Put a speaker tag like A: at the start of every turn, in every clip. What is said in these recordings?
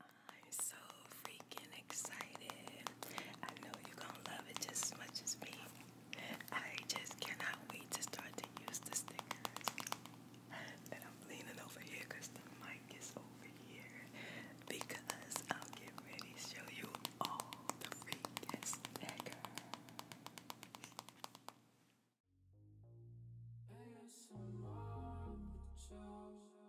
A: I'm so freaking excited. I know you're gonna love it just as much as me. I just cannot wait to start to use the stickers. And I'm leaning over here the mic is over here. Because I'm getting ready to show you all the freaking stickers.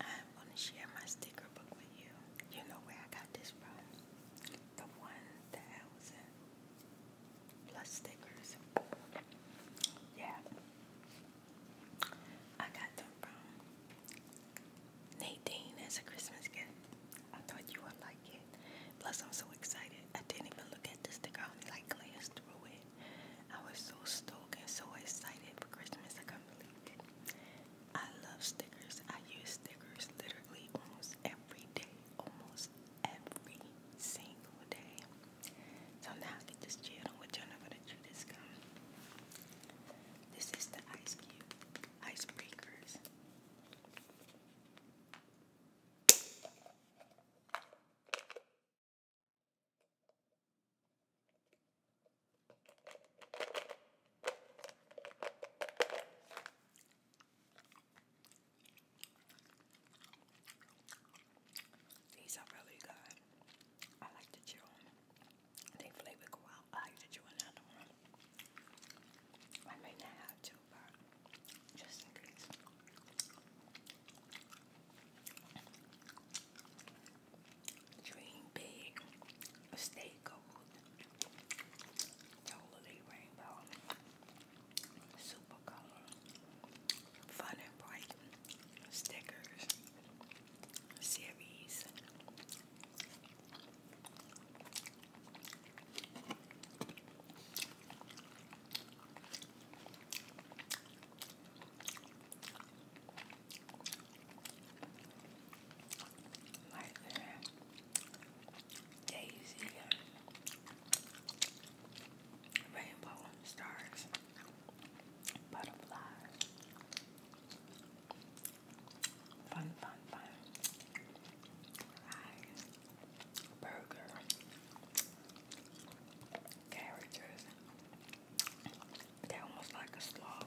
A: I'm gonna share my sticker book with you. You know where I got this from? The one thousand plus stickers. Yeah. I got them from Nadine as a Christmas gift. I thought you would like it. Plus I'm so excited. I didn't even look at the sticker, I only like glanced through it. I was so stoked and so excited for Christmas. I couldn't believe it. I love stickers. I use stickers literally almost every day, almost every single day. So now get this channel on which I'm going This is the ice cube, ice breakers. These are really good. I like to chew them. flavor go out. I like to chew another one. I may not have to, but just in case. Dream big, stay gold, totally rainbow, super color, fun and bright, stickers, series. Right there. Daisy. Rainbow stars. Butterflies. Fun, fun, fun. Burger. Characters they almost like a sloth.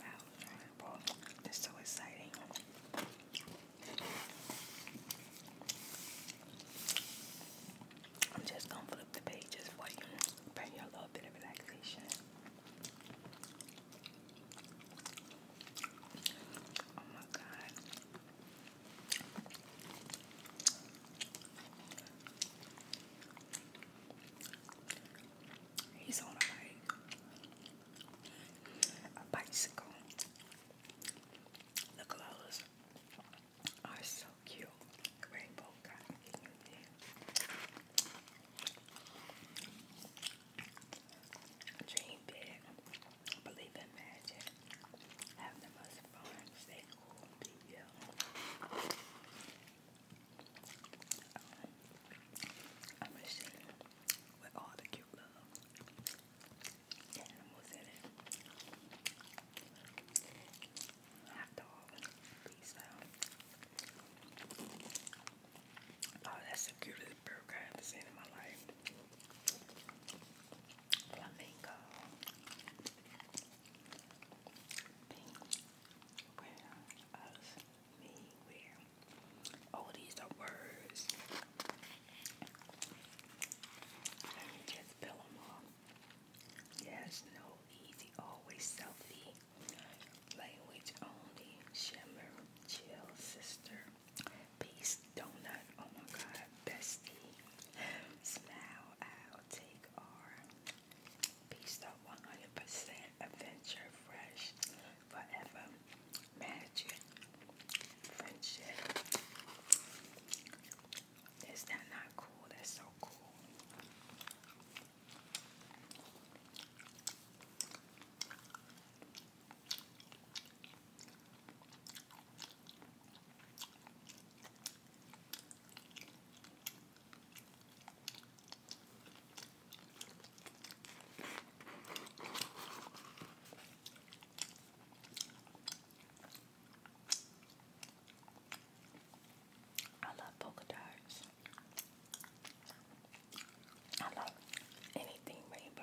A: Wow, that's so exciting. I'm just gonna flip the pages for you, bring you a little bit of relaxation. Oh my god. He's on a bike, a bicycle. The clothes are so cute. Rainbow cotton candy. Dream big. Believe in magic. Have the most fun. Stay cool. Be you. Um, a machine with all the cute love animals in it. Hot dog. Oh, that's the cutest burger I ever seen in my life flamingo, where us, me, where, oh these are words, let me just fill them off, yes, no, easy, always selfie, language only, shimmer, chill, sister, Peace donut. Oh my god, bestie. Smile, I'll take our peace of 100% adventure, fresh, forever, magic, friendship. Is that not cool? That's so cool. I love polka dots. I love anything rainbow.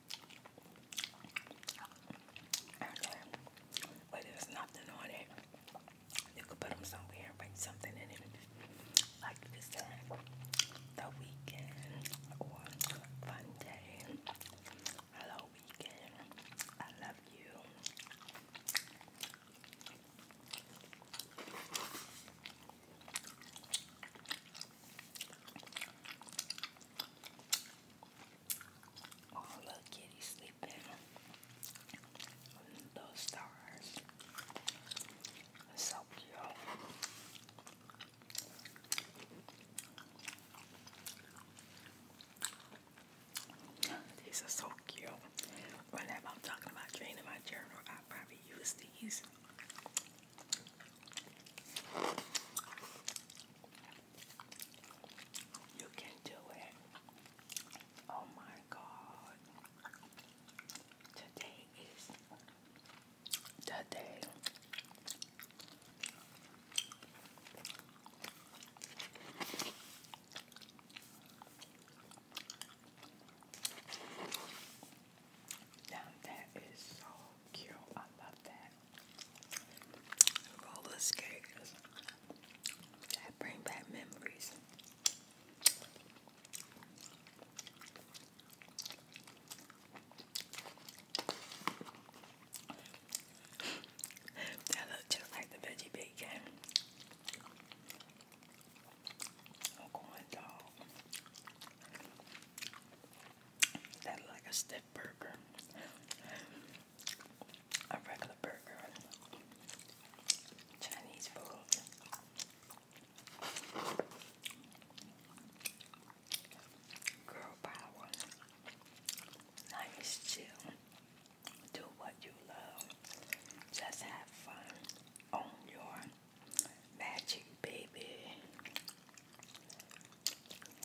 A: But there's nothing on it. You could put them somewhere and bring something in it. Like this the weekend or fun day. Hello, weekend. I love you. Oh, little kitty sleeping those stars. so cute. These are so cute. Whenever I'm talking about draining my journal, I probably use these. You can do it. Oh my God. Today is the day. Now that is so cute. I love that roller skaters that bring back memories. That look just like the veggie bacon. I'm going dog. That like a stiff burger, a regular burger, Chinese food. Girl power. Life chill. Do what you love. Just have fun. Own your magic, baby.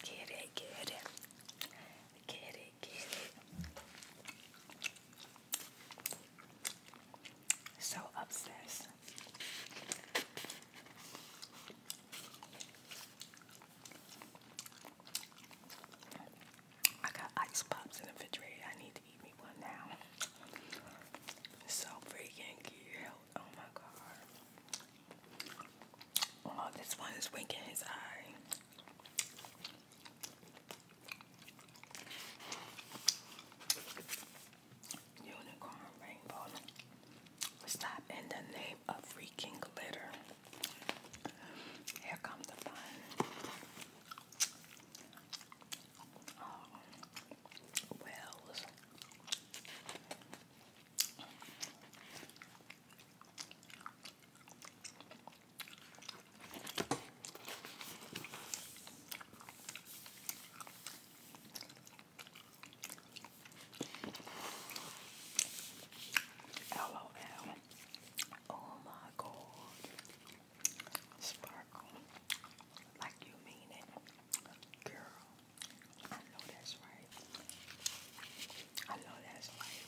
A: Get it, get it. Get it, get it. So obsessed. I got ice pops in the refrigerator. I need to eat me one now. So freaking cute. Oh my god. Oh, this one is winking his eye. Unicorn rainbow. Stop in the name of freaking glitter. Here comes the fun. Oh. Wells. LOL. Oh my god. Sparkle. Like you mean it. Girl. I know that's right. I know that's right.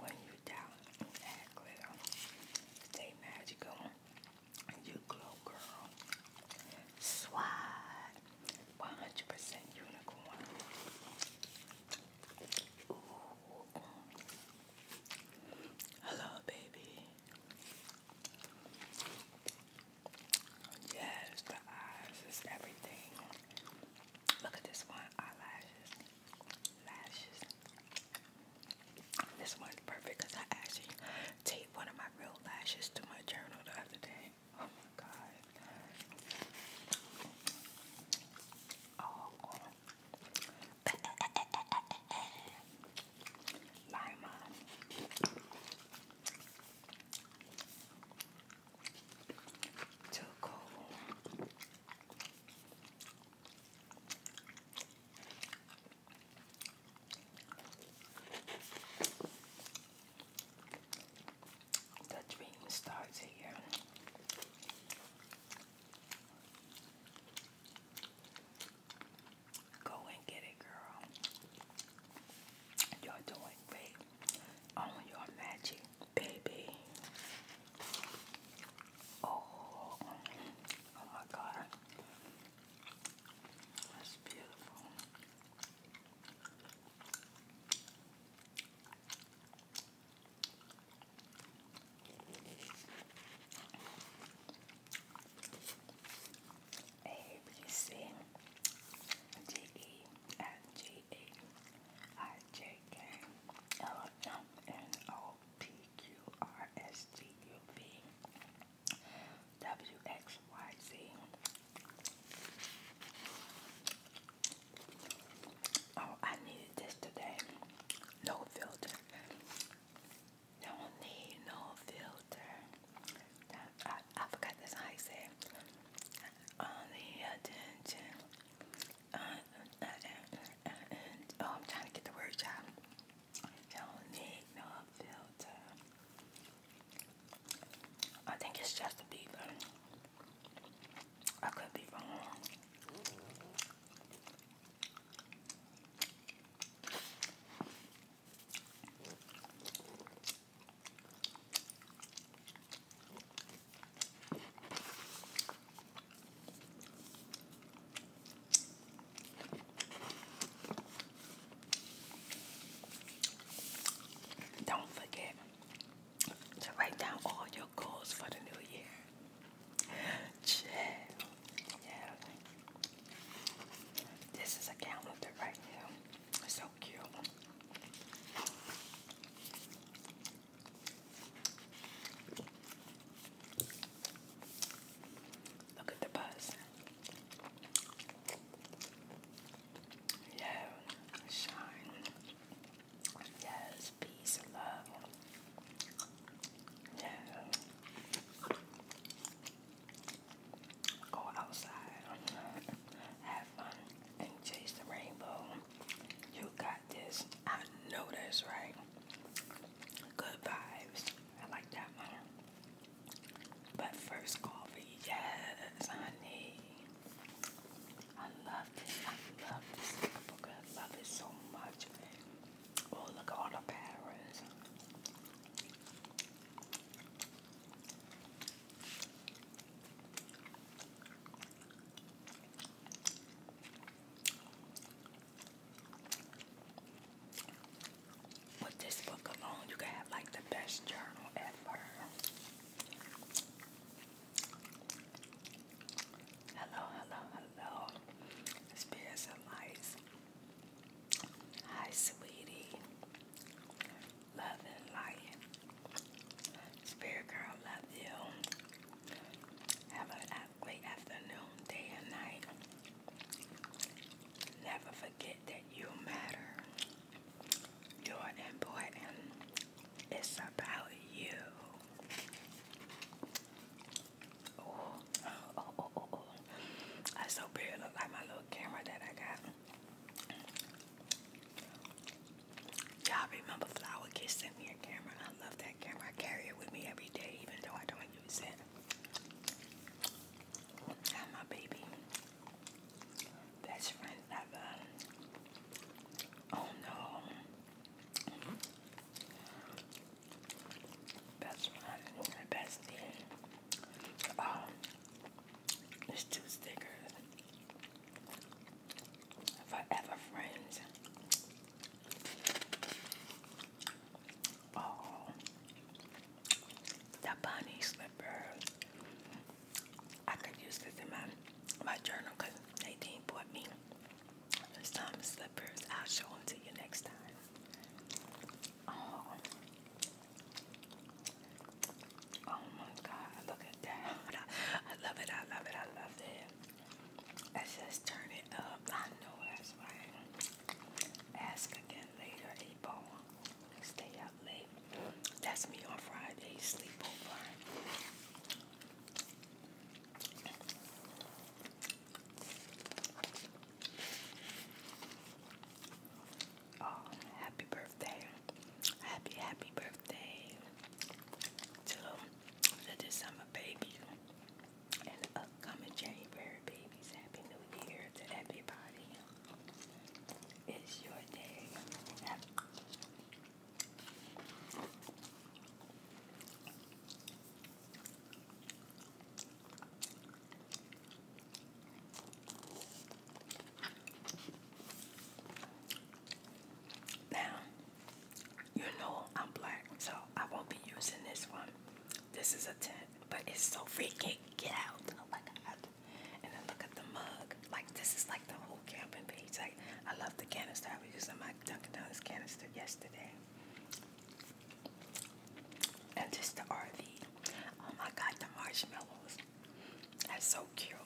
A: When you down that glitter, stay magical. You glow, girl. Swat. 100% unicorn. Ooh. Hello, baby. Yes, the eyes is everything. Look at this one, eyelashes, lashes. This one's perfect because I actually taped one of my real lashes to my journal the other day. Oh my god. Oh, Lima. Too cold. The dream starts here. Go and get it, girl. You're doing great. On oh, your magic, baby. Oh, oh my God. That's beautiful. A B C D E F G H I J K L M N O P Q R S T U V W X Y Z. Oh, I needed this today. No filter. Don't need no filter. I, forgot that's how I said. Only attention. Uh, uh, uh, uh, uh, uh, oh, I'm trying to get the word out. Don't need no filter. I think it's just a beaver. I could be wrong. Don't forget to write down all your goals for the new year. Yeah. This is a calendar right here. so cute. Look at the buzz. Yeah, shine. Yes, peace love. Yeah. Go outside, have fun, and chase the rainbow. You got this. I know that's right. Good vibes. I like that But first coffee, yes, honey. I love this. I love this. I love it so much. Oh, the With this book alone, you can have like the best journal ever. Hello, hello, hello. Spirits and lights. Hi, sweetie. Love and light. Spirit girl, love you. Have a great afternoon, day and night. Never forget that you matter. You're important. It's about you. Oh, oh, oh, oh, oh. so pretty. like my little camera that I got. Y'all remember Flower Kiss sent me a camera. and I love that camera. I carry it with me every day, even though I don't use it. I'm my baby. Best friend ever. Oh no. Best one, the best thing. Um, there's two stickers. Forever Friends. Oh, the bunny slipper. I could use this in my my journal because Nadine bought me First slippers, I'll show them to you next time. Oh, oh my God! Look at that! I love it! I love it! I love it! Let's just turn it up. I know that's right. Ask again later, Ebo. Stay up late. That's me on Friday sleepover. Oh, happy birthday. Happy, happy birthday to the December baby and the upcoming January babies. Happy New Year to everybody. It's your day. Now, you know I'm black, so I won't be using this one. This is a tent, but it's so freaking get out. Oh And then look at the mug. Like, this is like the whole camping page. Like, I love the canister. I was using my Duncan Donuts canister yesterday. And just the RV. Oh my God, the marshmallows. That's so cute.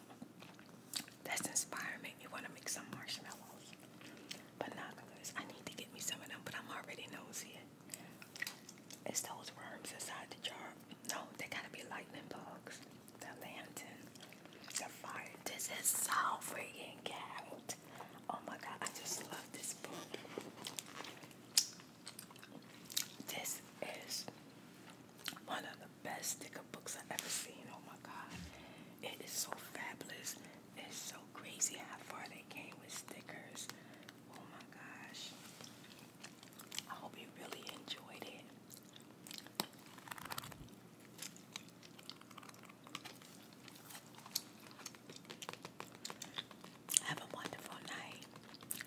A: That's inspiring. me want to make some marshmallows. But Binoculars. I need to get me some of them, but I'm already nosy. It's those worms inside the jar. No, they gotta be lightning bugs. The lantern. The fire. This is so freaking cow. Oh my god, I just love this book. This is one of the best sticker books I've ever seen. Oh my god. It is so fabulous. It's so crazy how far they came with stickers. Oh my gosh. I hope you really enjoyed it. Have a wonderful night,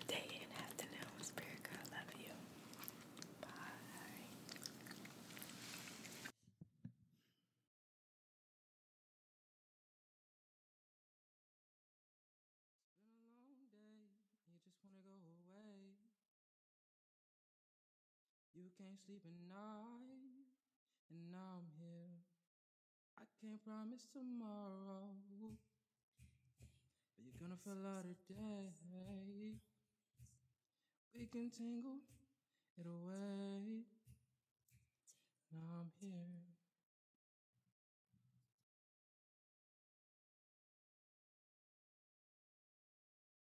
A: day, and afternoon. Spirit, love you. Bye. You can't sleep at night, and now I'm here. I can't promise tomorrow, but you're gonna fall out of today. We can tangle it away. Now I'm here.